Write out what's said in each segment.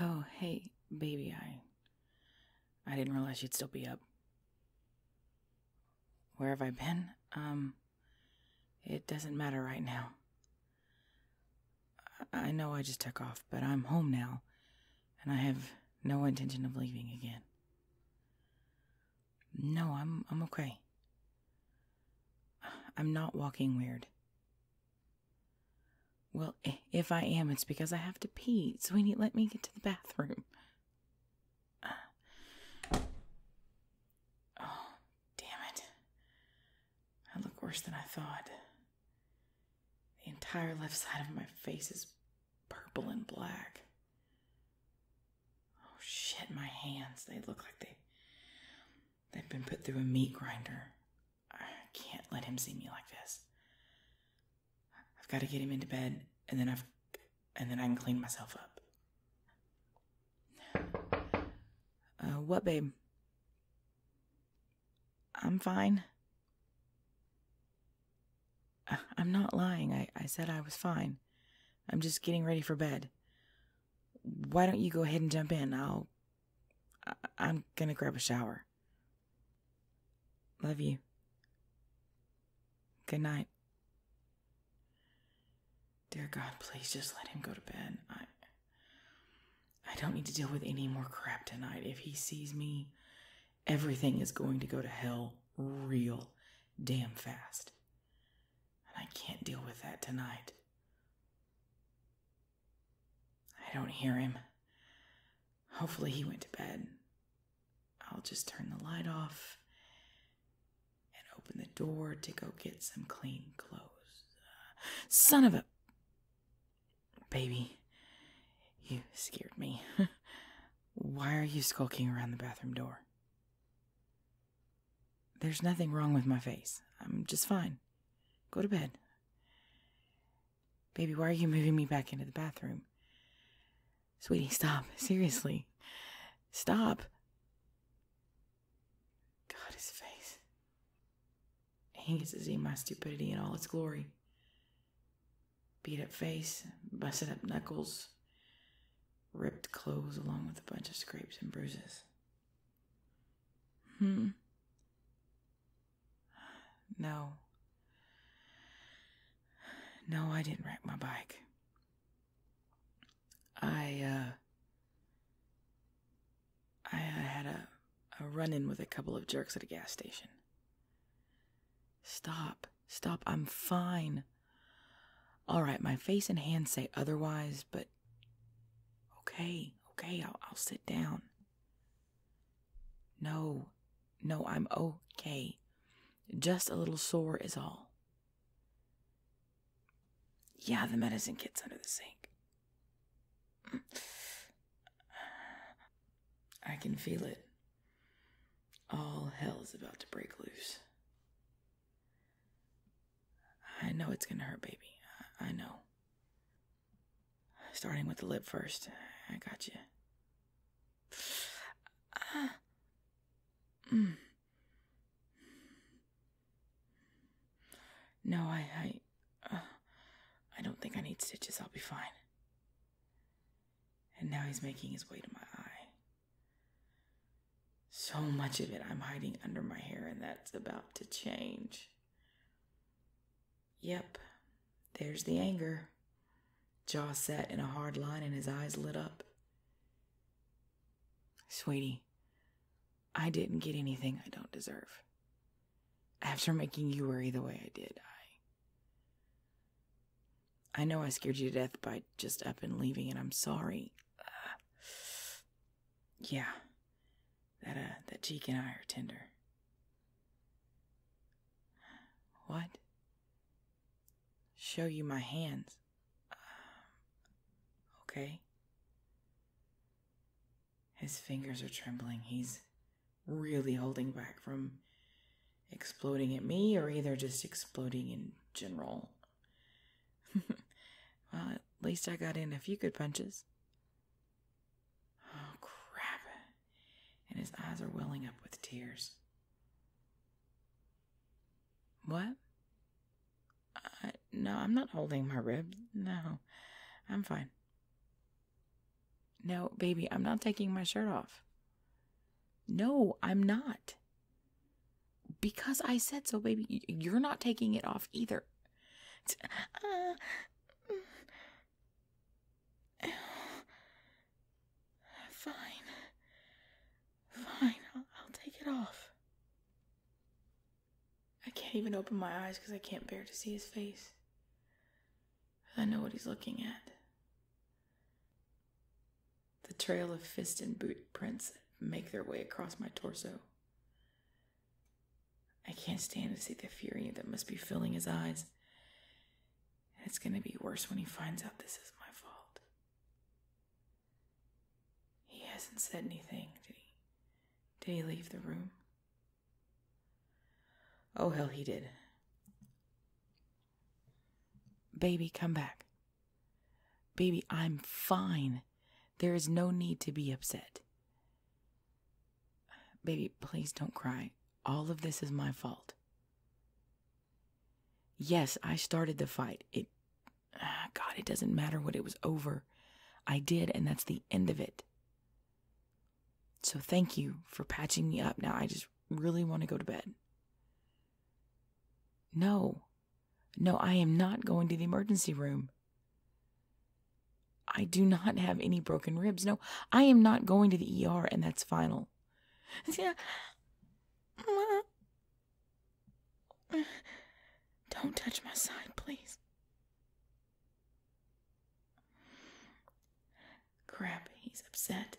Oh, hey, baby, I. I didn't realize you'd still be up. Where have I been? Um. It doesn't matter right now. I know I just took off, but I'm home now, and I have no intention of leaving again. No, I'm I'm okay. I'm not walking weird. Well, if I am, it's because I have to pee. So Sweeney, let me get to the bathroom. oh, damn it. I look worse than I thought. The entire left side of my face is purple and black. Oh shit, my hands. They look like they they've been put through a meat grinder. I can't let him see me like this. I've got to get him into bed and then I've and then I can clean myself up. Uh, what, babe? I'm fine. I'm not lying. I, I said I was fine. I'm just getting ready for bed. Why don't you go ahead and jump in? I'll. I- will i gonna grab a shower. Love you. Good night. Dear God, please just let him go to bed. I. I don't need to deal with any more crap tonight. If he sees me, everything is going to go to hell real damn fast and I can't deal with that tonight. I don't hear him. Hopefully, he went to bed. I'll just turn the light off and open the door to go get some clean clothes. Uh, son of a. Baby, you scared me. Why are you skulking around the bathroom door? There's nothing wrong with my face. I'm just fine. Go to bed. Baby, why are you moving me back into the bathroom? Sweetie, stop. Seriously. Stop. God, his face. He gets to see my stupidity in all its glory. Beat up face, busted up knuckles, ripped clothes along with a bunch of scrapes and bruises. Hmm. No. No, I didn't wreck my bike. I, uh, I, had a, a run in with a couple of jerks at a gas station. Stop. Stop. I'm fine. All right, my face and hands say otherwise, but okay, okay, I'll, sit down. No, no, I'm okay. Just a little sore is all. Yeah, the medicine kit's under the sink. I can feel it. All hell is about to break loose. I know it's gonna hurt, baby. I, know. Starting with the lip first. I got you. Ah. Mm. No, I, I, uh, I don't think I need stitches. I'll be fine. And now he's making his way to my eye. So much of it I'm hiding under my hair, and that's about to change. Yep, there's the anger. Jaw set in a hard line, and his eyes lit up. Sweetie, I didn't get anything I don't deserve. After making you worry the way I did, I. I know I scared you to death by just up and leaving, and I'm sorry. Uh, yeah, that uh, that cheek and I are tender. What? Show you my hands. Uh, okay. His fingers are trembling. He's really holding back from exploding at me or either just exploding in general. well, at least I got in a few good punches. Oh, crap. And his eyes are welling up with tears. What? Uh, no, I'm not holding my rib. No, I'm fine. No, baby, I'm not taking my shirt off. No, I'm not. Because I said so, baby. You're not taking it off either. Uh, fine. Fine, I'll take it off. I can't even open my eyes because I can't bear to see his face. I know what he's looking at. The trail of fist and boot prints make their way across my torso. I can't stand to see the fury that must be filling his eyes. It's going to be worse when he finds out this is my fault. He hasn't said anything, did he? Did he leave the room? Oh, hell, he did. Baby, come back. Baby, I'm fine. There is no need to be upset. Baby, please don't cry. All of this is my fault. Yes, I started the fight. It, ah, God, it doesn't matter what it was over. I did, and that's the end of it. So thank you for patching me up. Now I just really want to go to bed. No, no, I am not going to the emergency room. I do not have any broken ribs. No, I am not going to the ER, and that's final. Don't touch my side, please. Crap, he's upset.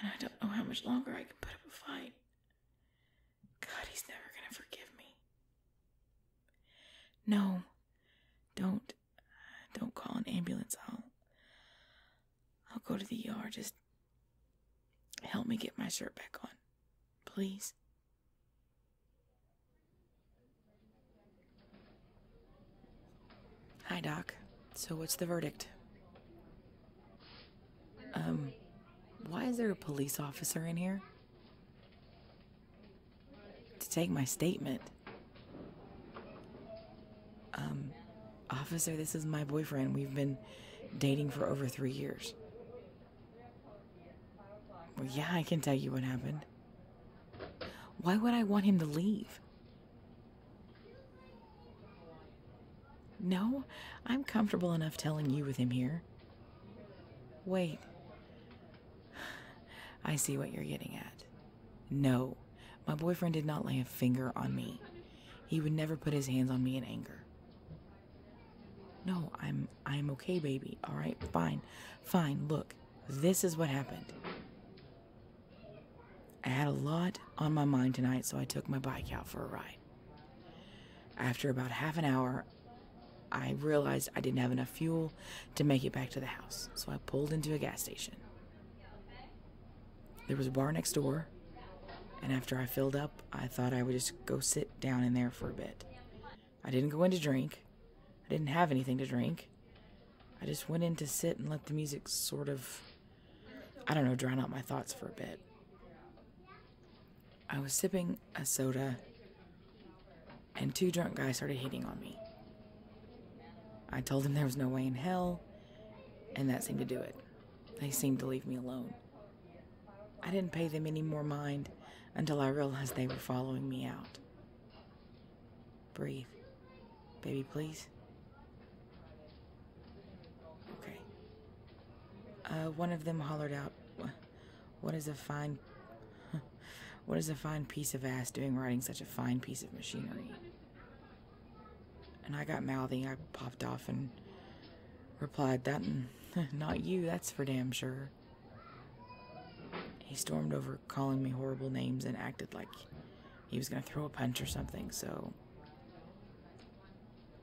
And I don't know how much longer I can put up a fight. God, he's never going to forgive me. No, don't. Don't call an ambulance. I'll, I'll go to the ER. Just help me get my shirt back on. Please. Hi, Doc. So, what's the verdict? Um, why is there a police officer in here? To take my statement. Um, officer, this is my boyfriend. We've been dating for over three years. Well, yeah, I can tell you what happened. Why would I want him to leave? No, I'm comfortable enough telling you with him here. Wait. I see what you're getting at. No, my boyfriend did not lay a finger on me. He would never put his hands on me in anger. No, I'm I'm okay, baby. All right, fine. Fine, look. This is what happened. I had a lot on my mind tonight, so I took my bike out for a ride. After about half an hour, I realized I didn't have enough fuel to make it back to the house, so I pulled into a gas station. There was a bar next door, and after I filled up, I thought I would just go sit down in there for a bit. I didn't go in to drink, I didn't have anything to drink. I just went in to sit and let the music sort of, I don't know, drown out my thoughts for a bit. I was sipping a soda, and two drunk guys started hitting on me. I told them there was no way in hell, and that seemed to do it. They seemed to leave me alone. I didn't pay them any more mind until I realized they were following me out. Breathe. Baby, please. Okay. Uh, one of them hollered out, What is a fine. what is a fine piece of ass doing riding such a fine piece of machinery? And I got mouthy. I popped off and replied, That. Not you, that's for damn sure. He stormed over calling me horrible names and acted like he was going to throw a punch or something, so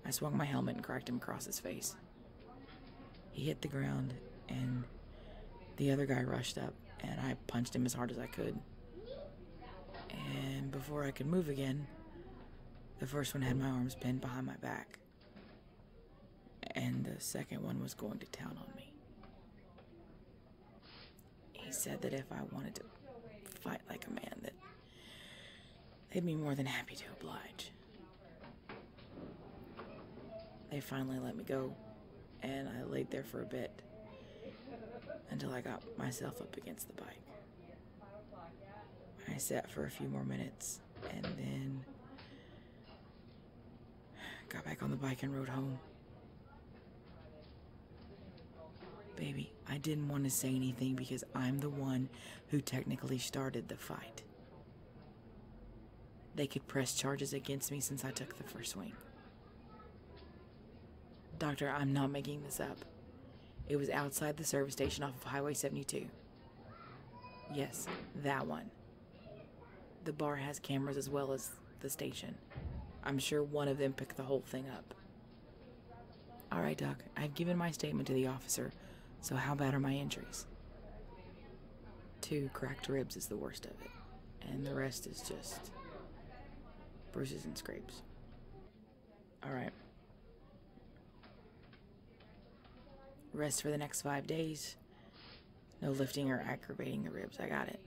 I swung my helmet and cracked him across his face. He hit the ground, and the other guy rushed up, and I punched him as hard as I could. And before I could move again, the first one had my arms pinned behind my back, and the second one was going to town on me. He said that if I wanted to fight like a man, that they'd be more than happy to oblige. They finally let me go, and I laid there for a bit until I got myself up against the bike. I sat for a few more minutes, and then Got back on the bike and rode home. Baby, I didn't want to say anything because I'm the one who technically started the fight. They could press charges against me since I took the first swing. Doctor, I'm not making this up. It was outside the service station off of Highway 72. Yes, that one. The bar has cameras as well as the station. I'm sure one of them picked the whole thing up. All right, Doc, I've given my statement to the officer, so how bad are my injuries? Two cracked ribs is the worst of it, and the rest is just bruises and scrapes. All right. Rest for the next five days, no lifting or aggravating the ribs. I got it.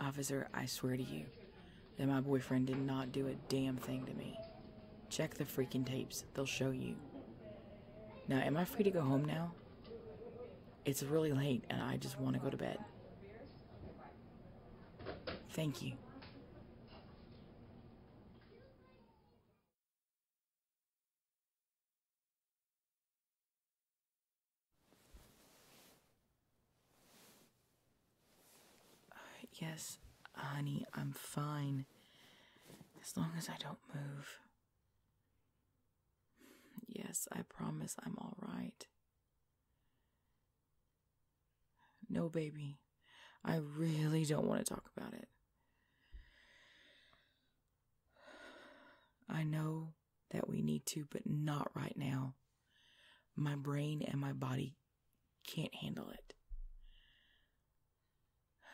Officer, I swear to you that my boyfriend did not do a damn thing to me. Check the freaking tapes, they'll show you. Now, am I free to go home now? It's really late and I just want to go to bed. Thank you. Uh, yes, honey, I'm fine. As long as I don't move. Yes, I promise I'm all right. No, baby. I really don't want to talk about it. I know that we need to, but not right now. My brain and my body can't handle it.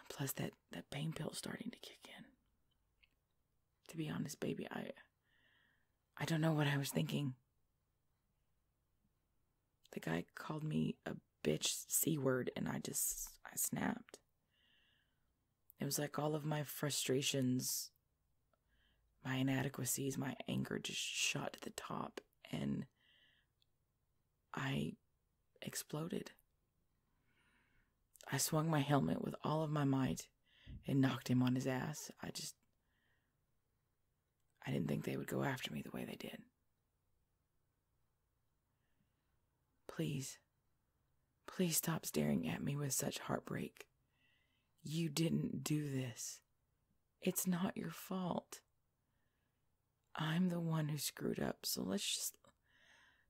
Plus that, that pain pill's starting to kick in. To be honest, baby, I I don't know what I was thinking. The guy called me a bitch C word and I just I snapped. It was like all of my frustrations, my inadequacies, my anger just shot to the top, and I exploded. I swung my helmet with all of my might and knocked him on his ass. I just. I didn't think they would go after me the way they did. Please, please stop staring at me with such heartbreak. You didn't do this. It's not your fault. I'm the one who screwed up, so let's just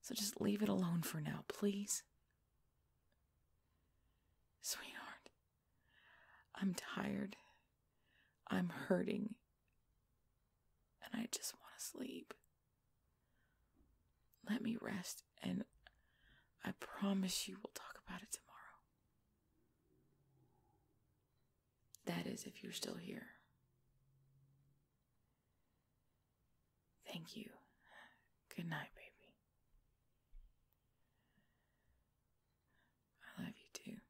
so just leave it alone for now, please. Sweetheart, I'm tired. I'm hurting. And I just want to sleep. Let me rest, and I promise you we'll talk about it tomorrow. That is, if you're still here. Thank you. Good night, baby. I love you too.